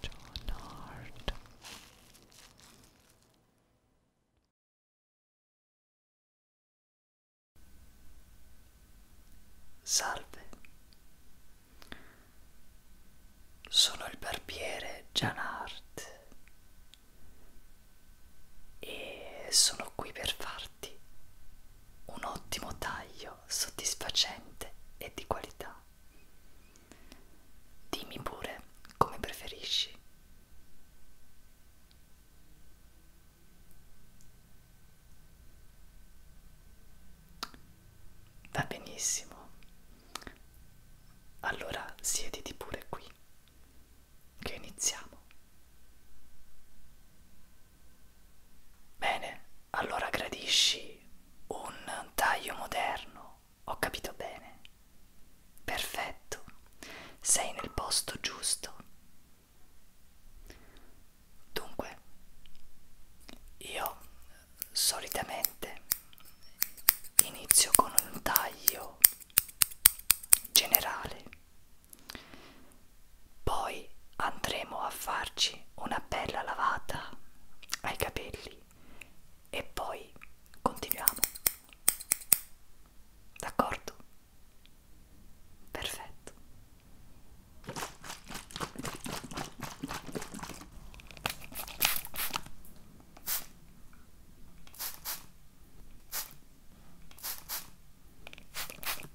John Hart Salve, sono il barbiere John Hart e sono qui per farti arti. Un ottimo taglio, soddisfacente e di qualità. Dimmi pure come preferisci. Va benissimo. Allora siediti pure qui, che iniziamo. Bene, allora gradisci un taglio moderno, ho capito bene. Perfetto, sei nel posto giusto. Dunque, io solitamente inizio con un taglio generale poi andremo a farci una bella lavata ai capelli e poi continuiamo. D'accordo? Perfetto.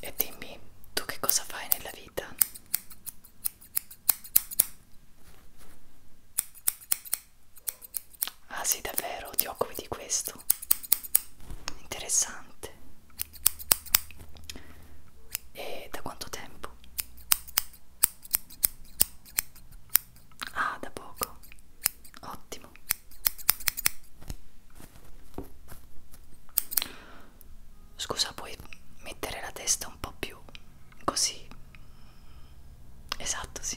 E dimmi, tu che cosa fai nella vita? Ah sì, davvero, ti occupi di questo? Interessante. E da quanto tempo? Ah, da poco. Ottimo. Scusa, puoi mettere la testa un po' più così. Esatto, sì.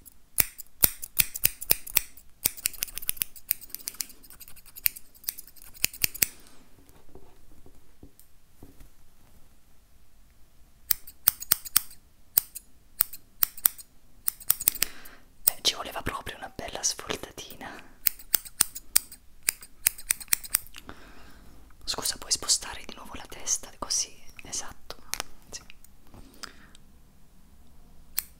Eh, ci voleva proprio una bella sfoltatina. Scusa, puoi spostare di nuovo la testa così, esatto. Sì.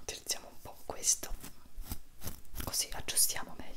Utilizziamo un po' questo, così aggiustiamo meglio.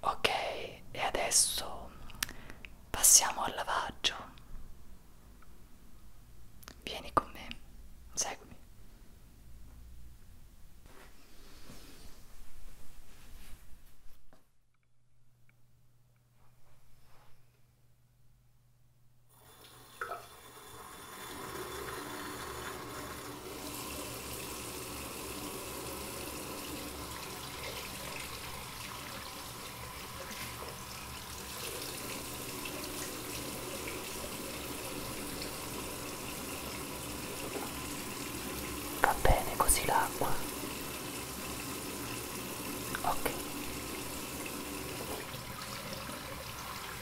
ok e adesso passiamo al lavaggio vieni con me seguimi Va bene così l'acqua. Ok.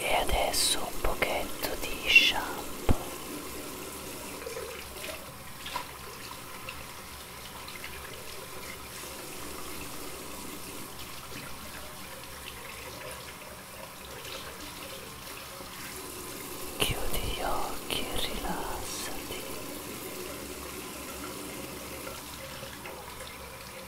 e adesso un pochetto di shampoo chiudi gli occhi e rilassati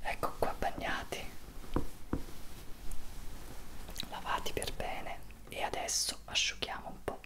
Ecco qua bagnati, lavati per bene e adesso asciughiamo un po'.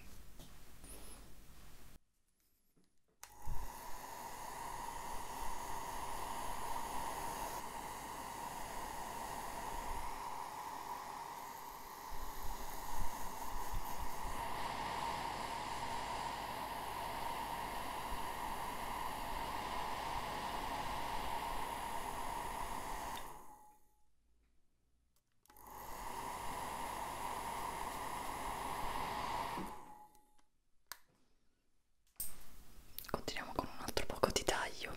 Continuiamo con un altro poco di taglio.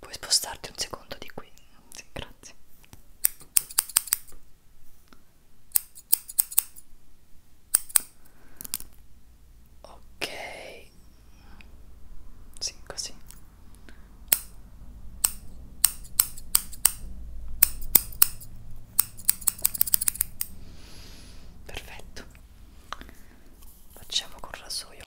puoi spostarti un secondo di qui sì, grazie ok sì così perfetto facciamo col rasoio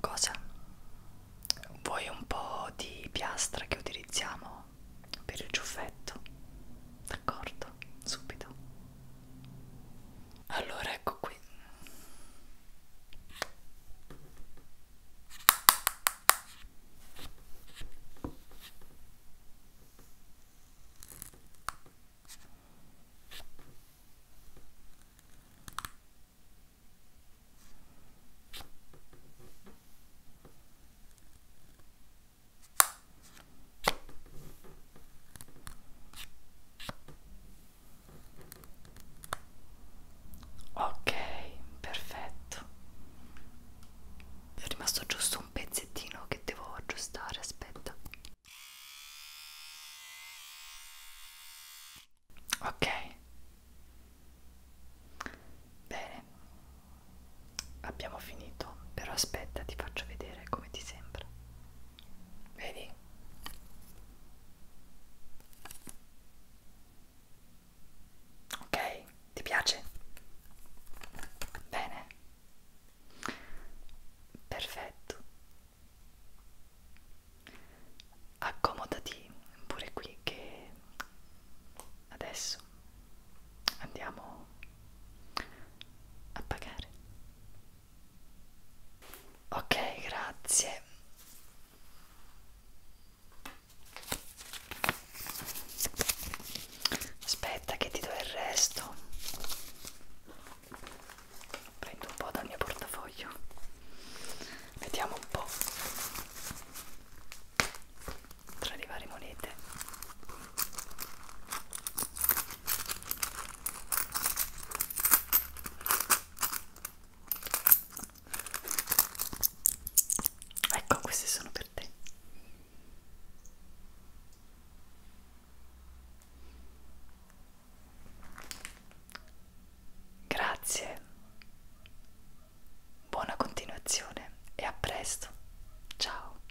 Cosa? Vuoi un po' di piastra che utilizziamo per il ciuffetto? D'accordo, subito. Allora, ecco qui. Ok, perfetto. È rimasto giusto un pezzettino che devo aggiustare, aspetta. Ok. Bene. Abbiamo finito, però aspetta, ti faccio vedere come ti sembra. Vedi? Ok, ti piace? Bene. Perfetto accomodati pure qui che adesso andiamo a pagare ok grazie aspetta che ti do il resto prendo un po' dal mio portafoglio vediamo un po' tra le varie monete ecco queste sono per te Grazie, buona continuazione e a presto. Ciao.